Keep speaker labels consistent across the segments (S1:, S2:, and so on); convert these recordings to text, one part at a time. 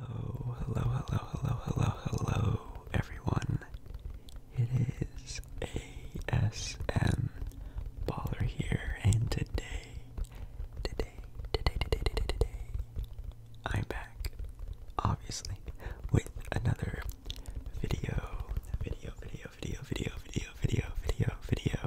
S1: Hello, hello, hello, hello, hello, hello, everyone. It is ASM Baller here, and today, today, today, today, today, today, I'm back, obviously, with another video, video, video, video, video, video, video, video, video.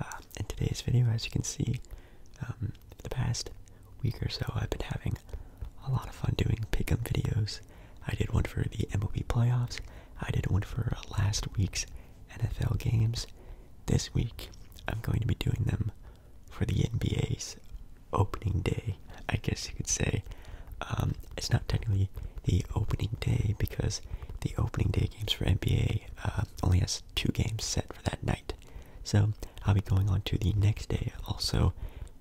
S1: Uh, in today's video, as you can see, um, for the past week or so, I've been having a lot of fun doing pick'em videos. I did one for the MLB playoffs. I did one for last week's NFL games. This week, I'm going to be doing them for the NBA's opening day. I guess you could say um, it's not technically the opening day because the opening day games for NBA uh, only has two games set for that night. So I'll be going on to the next day. Also,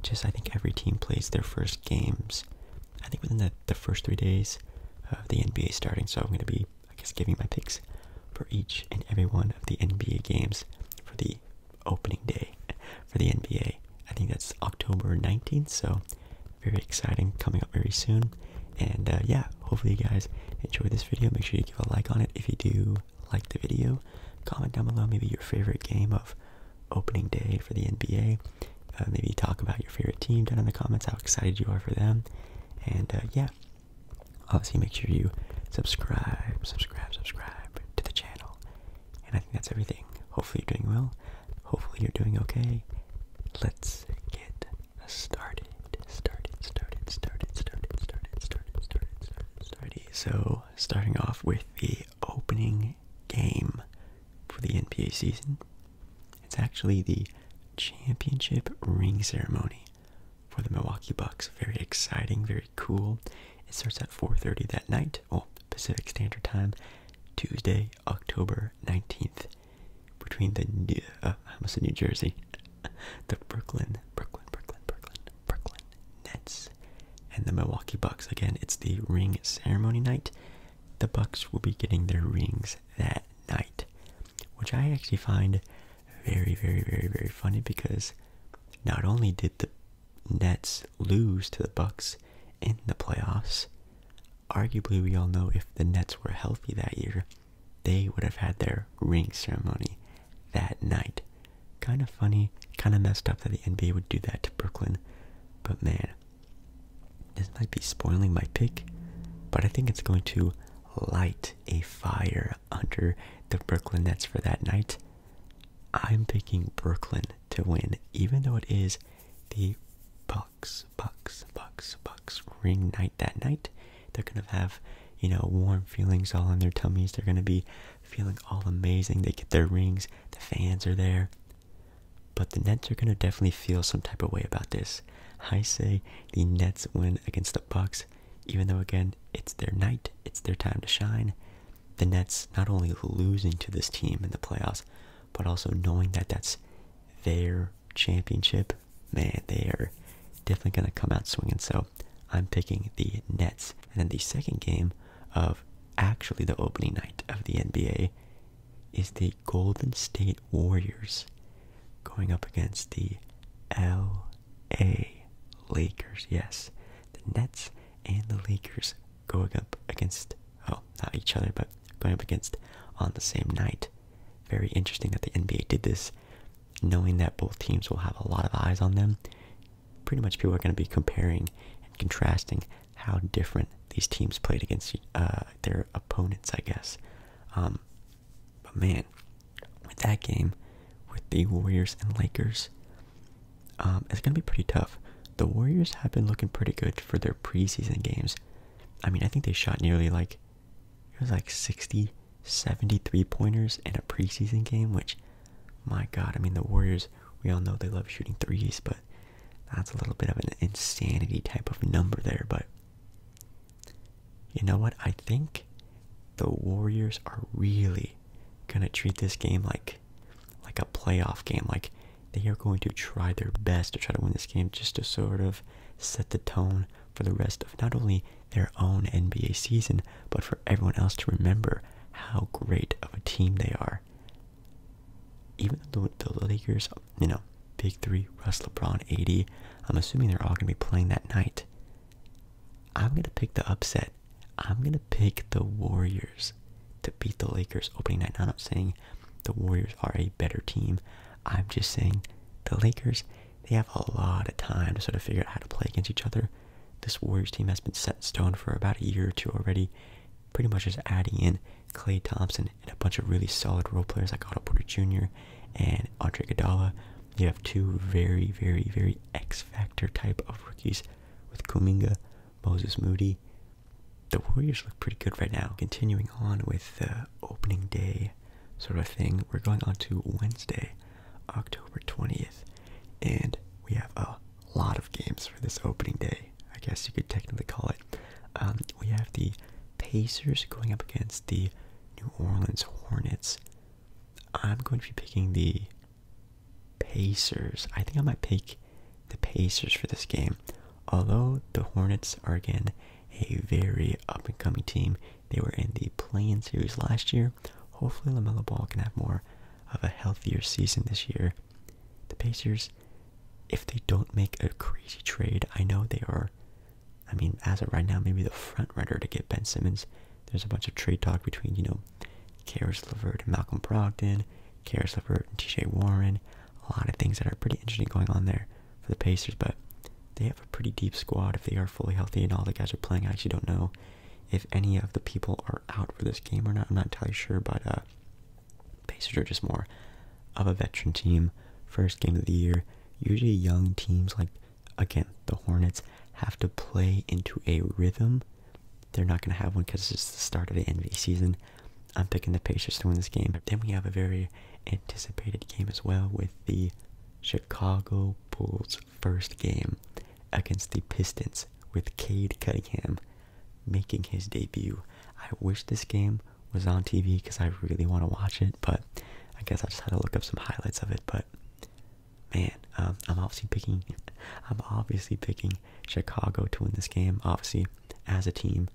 S1: just I think every team plays their first games. I think within the, the first three days of the NBA starting. So I'm going to be, I guess, giving my picks for each and every one of the NBA games for the opening day for the NBA. I think that's October 19th. So very exciting coming up very soon. And uh, yeah, hopefully you guys enjoyed this video. Make sure you give a like on it if you do. Like the video. Comment down below maybe your favorite game of opening day for the NBA. Uh, maybe talk about your favorite team down in the comments, how excited you are for them. And uh, yeah, obviously make sure you subscribe, subscribe, subscribe to the channel. And I think that's everything. Hopefully you're doing well. Hopefully you're doing okay. Let's get started, started, started, started, started, started, started, started, started. Alrighty, so starting off with the opening game for the NBA season, it's actually the championship ring ceremony for the Milwaukee Bucks. Very exciting, very cool. It starts at 4:30 that night, well Pacific Standard Time, Tuesday, October 19th, between the New, uh, New Jersey, the Brooklyn, Brooklyn, Brooklyn, Brooklyn, Brooklyn Nets, and the Milwaukee Bucks. Again, it's the ring ceremony night. The Bucks will be getting their rings that night, which I actually find very, very, very, very funny because not only did the Nets lose to the Bucks in the playoffs, arguably we all know if the Nets were healthy that year, they would have had their ring ceremony that night. Kind of funny, kind of messed up that the NBA would do that to Brooklyn, but man, this might be spoiling my pick, but I think it's going to light a fire under the Brooklyn Nets for that night. I'm picking Brooklyn to win, even though it is the Bucks, Bucks, Bucks, Bucks ring night that night. They're gonna have, you know, warm feelings all in their tummies. They're gonna be feeling all amazing. They get their rings. The fans are there. But the Nets are gonna definitely feel some type of way about this. I say the Nets win against the Bucks, even though again it's their night, it's their time to shine. The Nets not only losing to this team in the playoffs, but also knowing that that's their championship. Man, they are definitely gonna come out swinging. So I'm picking the Nets. And then the second game of actually the opening night of the NBA is the Golden State Warriors going up against the LA Lakers. Yes, the Nets and the Lakers going up against, oh, not each other, but going up against on the same night. Very interesting that the NBA did this knowing that both teams will have a lot of eyes on them, pretty much people are going to be comparing and contrasting how different these teams played against uh, their opponents, I guess. Um, but man, with that game, with the Warriors and Lakers, um, it's going to be pretty tough. The Warriors have been looking pretty good for their preseason games. I mean, I think they shot nearly like it was like 60 73 pointers in a preseason game, which, my God, I mean, the Warriors, we all know they love shooting threes, but that's a little bit of an insanity type of number there. But you know what? I think the Warriors are really going to treat this game like like a playoff game like they are going to try their best to try to win this game just to sort of set the tone for the rest of not only their own NBA season, but for everyone else to remember how great of a team they are. Even though the Lakers, you know, Big Three, Russ, LeBron, 80, I'm assuming they're all going to be playing that night. I'm going to pick the upset. I'm going to pick the Warriors to beat the Lakers opening night. Now, I'm not saying the Warriors are a better team. I'm just saying the Lakers they have a lot of time to sort of figure out how to play against each other. This Warriors team has been set in stone for about a year or two already, pretty much just adding in Clay Thompson and a bunch of really solid role players like Otto Porter Jr. and Andre Iguodala. You have two very, very, very X factor type of rookies with Kuminga, Moses Moody. The Warriors look pretty good right now. Continuing on with the opening day sort of thing, we're going on to Wednesday. October 20th, and we have a lot of games for this opening day. I guess you could technically call it. Um, we have the Pacers going up against the New Orleans Hornets. I'm going to be picking the Pacers. I think I might pick the Pacers for this game. Although the Hornets are again a very up and coming team, they were in the play-in series last year. Hopefully, Lamelo Ball can have more of a healthier season this year. The Pacers, if they don't make a crazy trade, I know they are. I mean, as of right now, maybe the front runner to get Ben Simmons. There's a bunch of trade talk between you know, Karis LeVert and Malcolm Brogdon, Karis LeVert and T.J. Warren. A lot of things that are pretty interesting going on there for the Pacers, but they have a pretty deep squad if they are fully healthy and all the guys are playing. I actually don't know if any of the people are out for this game or not. I'm not entirely sure, but uh, Pacers are just more of a veteran team. First game of the year. Usually, young teams like again the Hornets have to play into a rhythm. They're not going to have one because it's the start of the NBA season. I'm picking the Pacers to win this game. Then we have a very anticipated game as well with the Chicago Bulls first game against the Pistons with Cade Cunningham making his debut. I wish this game was on TV because I really want to watch it, but I guess I just had to look up some highlights of it. But man, um, I'm obviously picking, I'm obviously picking Chicago to win this game. Obviously, as a team,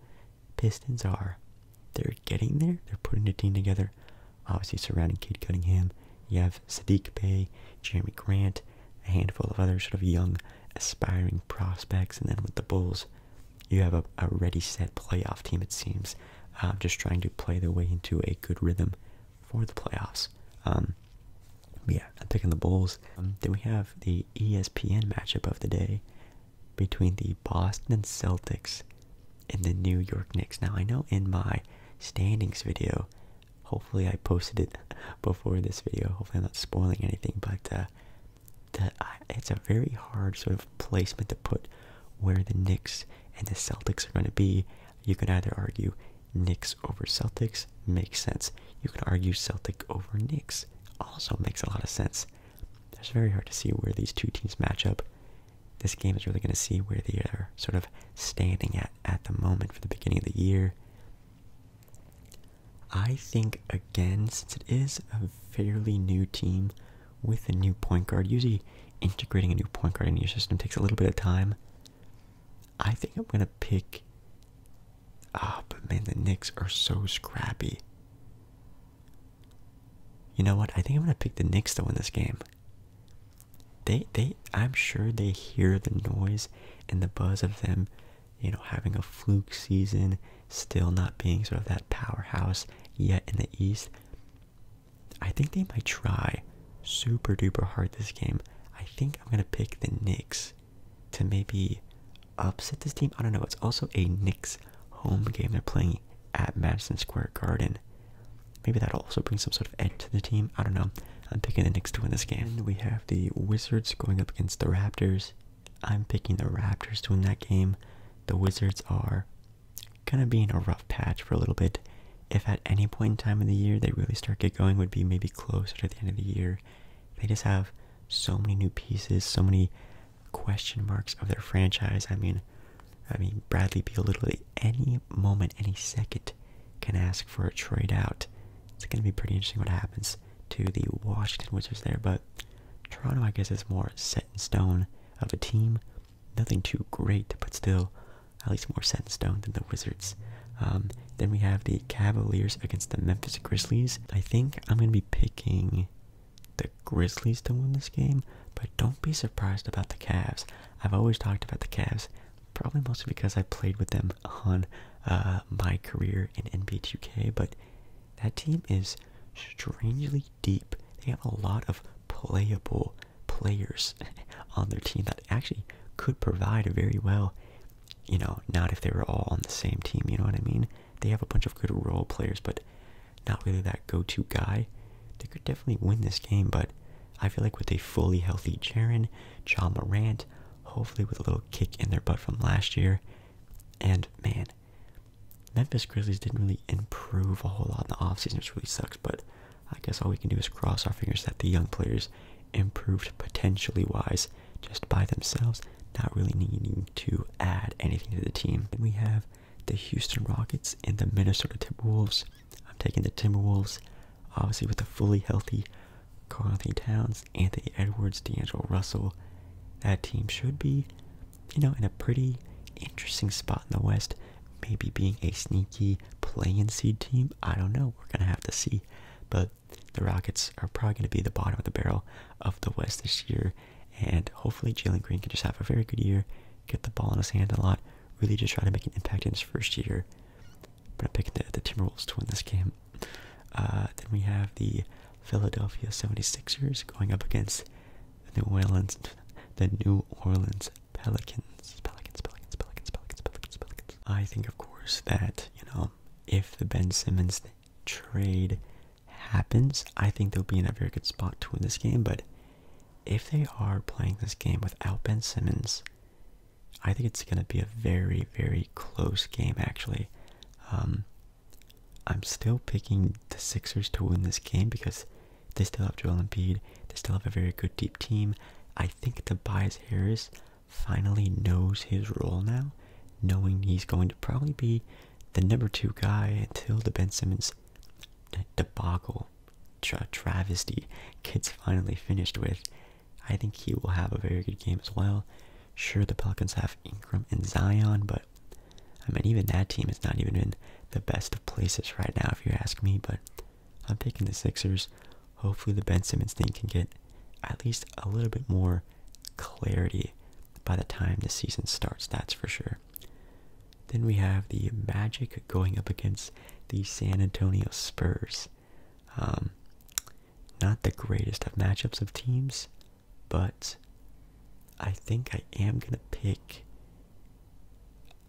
S1: Pistons are, they're getting there. They're putting a team together obviously surrounding Kate Cunningham. You have Sadiq Bay, Jeremy Grant, a handful of other sort of young, aspiring prospects. And then with the Bulls, you have a, ready, set playoff team, it seems, um, just trying to play their way into a good rhythm for the playoffs. Um, yeah, I'm picking the Bulls. Um, then we have the ESPN matchup of the day between the Boston Celtics in the New York Knicks. Now, I know in my standings video, hopefully I posted it before this video. Hopefully I'm not spoiling anything, but uh, it's a very hard sort of placement to put where the Knicks and the Celtics are going to be. You can either argue Knicks over Celtics makes sense. You can argue Celtic over Knicks also makes a lot of sense. It's very hard to see where these two teams match up this game is really going to see where they are sort of standing at at the moment for the beginning of the year. I think, again, since it is a fairly new team with a new point guard, usually integrating a new point guard into your system takes a little bit of time. I think I'm going to pick. Ah, oh, but man, the Knicks are so scrappy. You know what? I think I'm going to pick the Knicks, though, in this game. They they I'm sure they hear the noise and the buzz of them, you know, having a fluke season, still not being sort of that powerhouse yet in the East. I think they might try super duper hard this game. I think I'm gonna pick the Knicks to maybe upset this team. I don't know. It's also a Knicks home game. They're playing at Madison Square Garden. Maybe that'll also bring some sort of edge to the team. I don't know. I'm picking the Knicks to win this game. we have the Wizards going up against the Raptors. I'm picking the Raptors to win that game. The Wizards are gonna be in a rough patch for a little bit. If at any point in time of the year they really start get going, would be maybe closer to the end of the year. They just have so many new pieces, so many question marks of their franchise. I mean, I mean, Bradley Beal literally any moment, any second can ask for a trade out. It's going to be pretty interesting what happens to the Washington Wizards there, but Toronto, I guess, is more set in stone of a team. Nothing too great, but still at least more set in stone than the Wizards. Um, then we have the Cavaliers against the Memphis Grizzlies. I think I'm going to be picking the Grizzlies to win this game, but don't be surprised about the Cavs. I've always talked about the Cavs, probably mostly because I played with them on uh, my career in nb 2K, but that team is strangely deep. They have a lot of playable players on their team that actually could provide very well. You know, not if they were all on the same team, you know what I mean? They have a bunch of good role players, but not really that go to guy. They could definitely win this game, but I feel like with a fully healthy Jaron, Ja Morant, hopefully with a little kick in their butt from last year, and man, Memphis Grizzlies didn't really improve a whole lot in the offseason, which really sucks, but I guess all we can do is cross our fingers that the young players improved potentially wise just by themselves, not really needing to add anything to the team. And we have the Houston Rockets and the Minnesota Timberwolves. I'm taking the Timberwolves, obviously with a fully healthy Carl Towns, Anthony Edwards, D'Angelo Russell. That team should be, you know, in a pretty interesting spot in the West. Maybe being a sneaky play-in seed team. I don't know. We're gonna have to see. But the Rockets are probably gonna be the bottom of the barrel of the West this year. And hopefully Jalen Green can just have a very good year, get the ball in his hand a lot, really just trying to make an impact in his first year. But I'm picking the, the Timberwolves to win this game. Uh, then we have the Philadelphia 76ers going up against the New Orleans, the New Orleans Pelicans. Pelicans, Pelicans, Pelicans, Pelicans, Pelicans, Pelicans. I think, of course, that, you know, if the Ben Simmons trade happens, I think they'll be in a very good spot to win this game, but if they are playing this game without Ben Simmons, I think it's going to be a very, very close game, actually. Um, I'm still picking the Sixers to win this game because they still have Joel Embiid. They still have a very good deep team. I think Tobias Harris finally knows his role now, knowing he's going to probably be the number two guy until the Ben Simmons debacle travesty kids finally finished with, I think he will have a very good game as well. Sure, the Pelicans have Ingram and Zion, but I mean, even that team is not even in the best of places right now, if you ask me. But I'm picking the Sixers. Hopefully, the Ben Simmons thing can get at least a little bit more clarity by the time the season starts, that's for sure. Then we have the Magic going up against the San Antonio Spurs. Um, not the greatest of matchups of teams, but I think I am going to pick.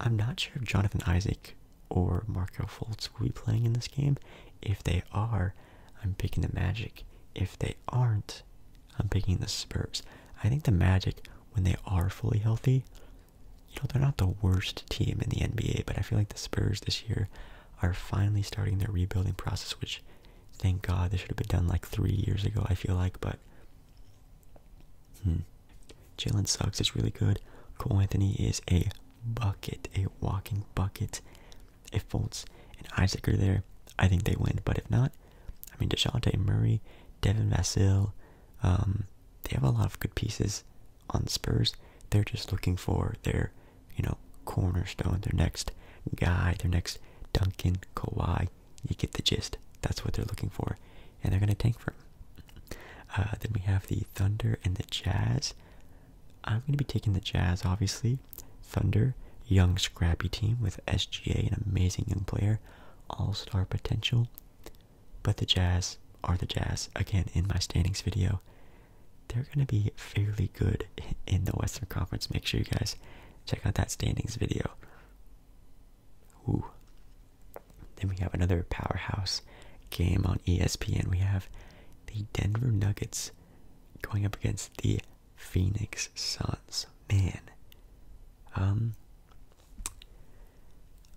S1: I'm not sure if Jonathan Isaac or Marco Fultz will be playing in this game. If they are, I'm picking the Magic. If they aren't, I'm picking the Spurs. I think the Magic, when they are fully healthy, you know, they're not the worst team in the NBA, but I feel like the Spurs this year are finally starting their rebuilding process, which thank God they should have been done like three years ago, I feel like, but hmm. Jalen Suggs is really good. Cole Anthony is a bucket, a walking bucket. If Fultz and Isaac are there, I think they win. But if not, I mean, DeJounte Murray, Devin Vassell, um, they have a lot of good pieces on Spurs. They're just looking for their, you know, cornerstone, their next guy, their next Duncan, Kawhi. You get the gist. That's what they're looking for, and they're gonna tank for him. Uh, then we have the Thunder and the Jazz. I'm gonna be taking the Jazz, obviously. Thunder, young, scrappy team with SGA, an amazing young player, all-star potential. But the Jazz are the Jazz. Again, in my standings video, they're going to be fairly good in the Western Conference. Make sure you guys check out that standings video. Ooh. Then we have another powerhouse game on ESPN. We have the Denver Nuggets going up against the Phoenix Suns. Man, um,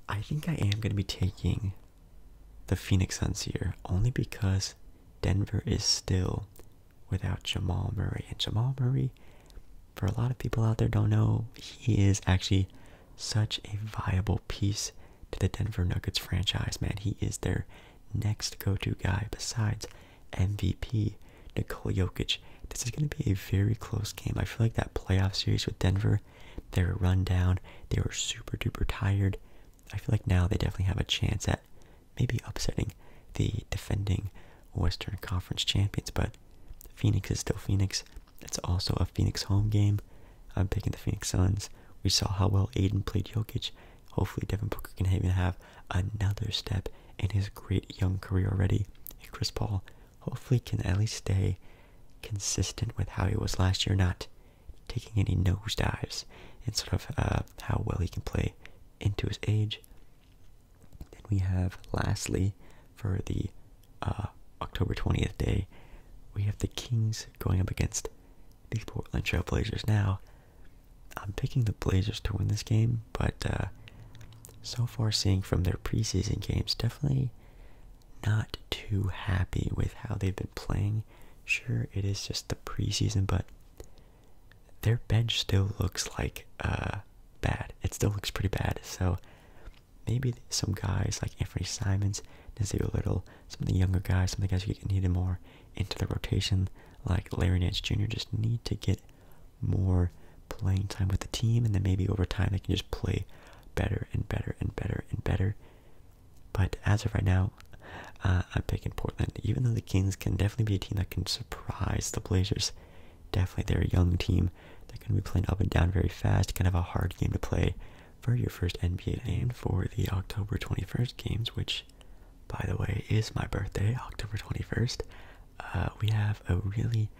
S1: I think I am going to be taking the Phoenix Suns here only because Denver is still without Jamal Murray. And Jamal Murray, for a lot of people out there don't know, he is actually such a viable piece to the Denver Nuggets franchise, man. He is their next go-to guy besides MVP Nikola Jokic. This is going to be a very close game. I feel like that playoff series with Denver they were run down. They were super duper tired. I feel like now they definitely have a chance at maybe upsetting the defending Western Conference champions, but Phoenix is still Phoenix. It's also a Phoenix home game. I'm picking the Phoenix Suns. We saw how well Aiden played Jokic. Hopefully, Devin Booker can even have another step in his great young career already. And Chris Paul hopefully can at least stay consistent with how he was last year, not taking any nosedives and sort of uh, how well he can play into his age. Then we have, lastly, for the uh, October 20th day, we have the Kings going up against the Portland Trail Blazers. Now, I'm picking the Blazers to win this game, but uh, so far, seeing from their preseason games, definitely not too happy with how they've been playing. Sure, it is just the preseason, but their bench still looks like uh bad. It still looks pretty bad. So maybe some guys like Anthony Simons, Nazir Little, some of the younger guys, some of the guys who get needed more into the rotation, like Larry Nance Jr., just need to get more playing time with the team, and then maybe over time they can just play better and better and better and better. But as of right now, uh, I'm picking Portland. Even though the Kings can definitely be a team that can surprise the Blazers, definitely they're a young team. They're going to be playing up and down very fast. Kind of a hard game to play for your first NBA game for the October 21st games, which, by the way, is my birthday, October 21st. Uh, we have a really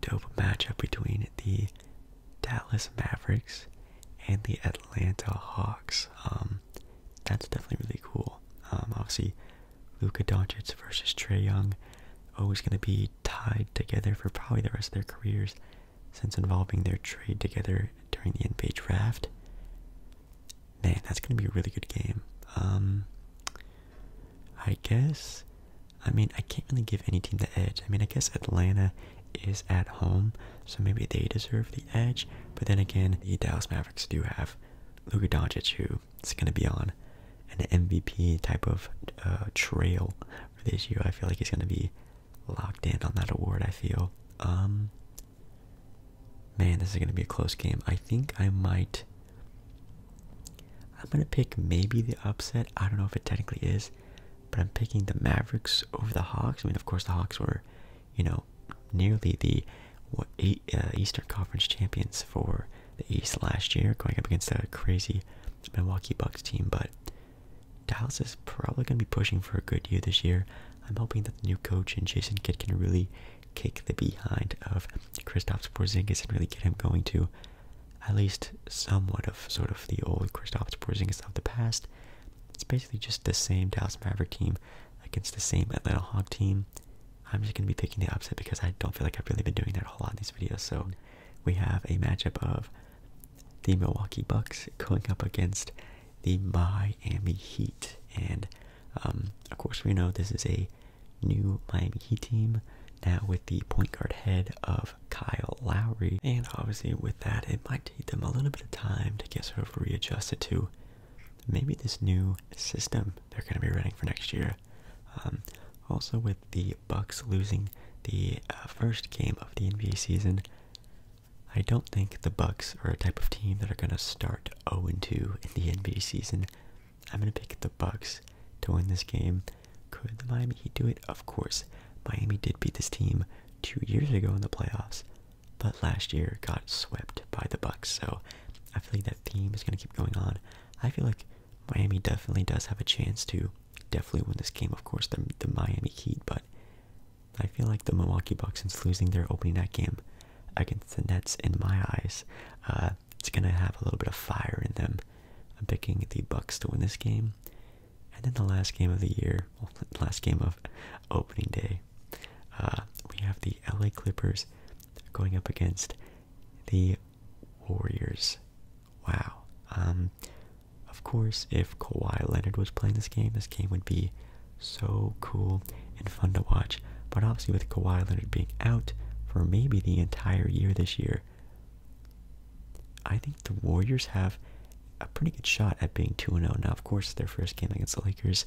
S1: dope matchup between the Dallas Mavericks, and the Atlanta Hawks. Um, that's definitely really cool. Um, obviously, Luka Doncic versus Trey Young, always going to be tied together for probably the rest of their careers, since involving their trade together during the NBA draft. Man, that's going to be a really good game. Um, I guess I mean, I can't really give any team the edge. I mean, I guess Atlanta is at home, so maybe they deserve the edge. But then again, the Dallas Mavericks do have Luka Doncic, who is going to be on an MVP type of uh, trail for this year. I feel like he's going to be locked in on that award, I feel. Um, man, this is going to be a close game. I think I might... I'm going to pick maybe the upset. I don't know if it technically is but I'm picking the Mavericks over the Hawks. I mean, of course, the Hawks were, you know, nearly the what, eight, uh, Eastern Conference champions for the East last year, going up against a crazy Milwaukee Bucks team. But Dallas is probably going to be pushing for a good year this year. I'm hoping that the new coach and Jason Kidd can really kick the behind of Kristaps Porzingis and really get him going to at least somewhat of sort of the old Kristaps Porzingis of the past. It's basically just the same Dallas Maverick team against the same Atlanta Hog team. I'm just gonna be picking the upset because I don't feel like I've really been doing that a whole lot in these videos. So we have a matchup of the Milwaukee Bucks going up against the Miami Heat, and um, of course we know this is a new Miami Heat team now with the point guard head of Kyle Lowry. And obviously, with that, it might take them a little bit of time to get sort of readjusted to maybe this new system they're going to be running for next year. Um, also, with the Bucks losing the uh, first game of the NBA season, I don't think the Bucks are a type of team that are going to start 0-2 in the NBA season. I'm going to pick the Bucks to win this game. Could the Miami Heat do it? Of course. Miami did beat this team two years ago in the playoffs, but last year got swept by the Bucks. So I feel like that theme is going to keep going on. I feel like Miami definitely does have a chance to definitely win this game. Of course, the Miami Heat, but I feel like the Milwaukee Bucks, since losing their opening night game against the Nets, in my eyes, uh, it's gonna have a little bit of fire in them. I'm picking the Bucks to win this game, um, and then the last game of the year, last game of opening day, uh, we have the LA Clippers going up against the Warriors. Wow. Um, of course, if Kawhi Leonard was playing this game, this game would be so cool and fun to watch. But obviously, with Kawhi Leonard being out for maybe the entire year this year, I think the Warriors have a pretty good shot at being 2 0. Now, of course, their first game against the Lakers,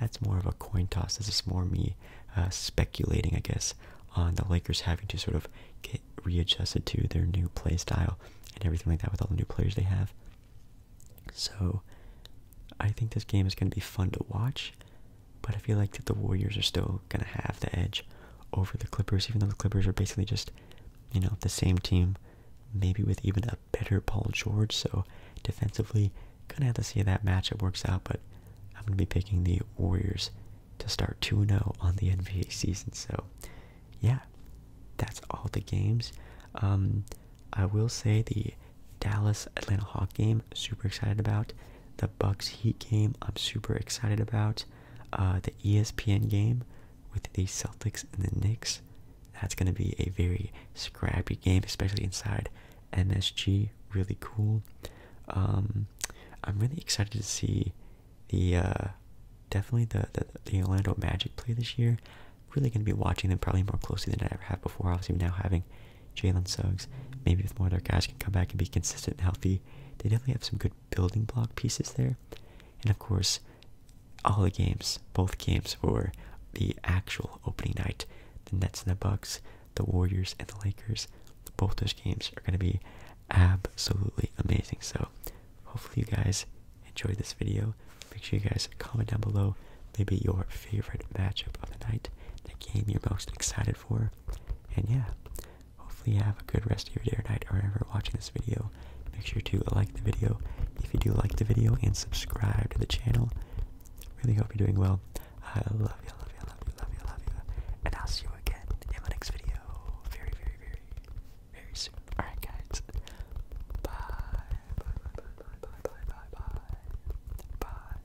S1: that's more of a coin toss. This is more me uh, speculating, I guess, on the Lakers having to sort of get readjusted to their new play style and everything like that with all the new players they have. So, I think this game is going to be fun to watch, but I feel like that the Warriors are still going to have the edge over the Clippers, even though the Clippers are basically just, you know, the same team, maybe with even a better Paul George. So defensively, gonna have to see how that matchup works out. But I'm gonna be picking the Warriors to start 2-0 on the NBA season. So yeah, that's all the games. Um, I will say the Dallas Atlanta Hawk game, super excited about. The Bucks Heat game, I'm super excited about. Uh, the ESPN game with the Celtics and the Knicks. That's going to be a very scrappy game, especially inside NSG, Really cool. Um, I'm really excited to see the uh, definitely the, the Orlando Magic play this year. Really going to be watching them probably more closely than I ever have before. Also, now having Jalen Suggs, maybe if more of their guys can come back and be consistent and healthy, they definitely have some good building block pieces there. And of course, all the games, both games for the actual opening night, the Nets and the Bucks, the Warriors and the Lakers, both those games are going to be absolutely amazing. So hopefully you guys enjoyed this video. Make sure you guys comment down below maybe your favorite matchup of the night, the game you're most excited for. And yeah, Hopefully you have a good rest of your day or night or ever watching this video. Make sure to like the video if you do like the video and subscribe to the channel. Really hope you're doing well. I love you, I love you, I love you, love you, love you. And I'll see you again in my next video very, very, very, very soon. Alright guys. bye, bye, bye, bye, bye, bye, bye. Bye.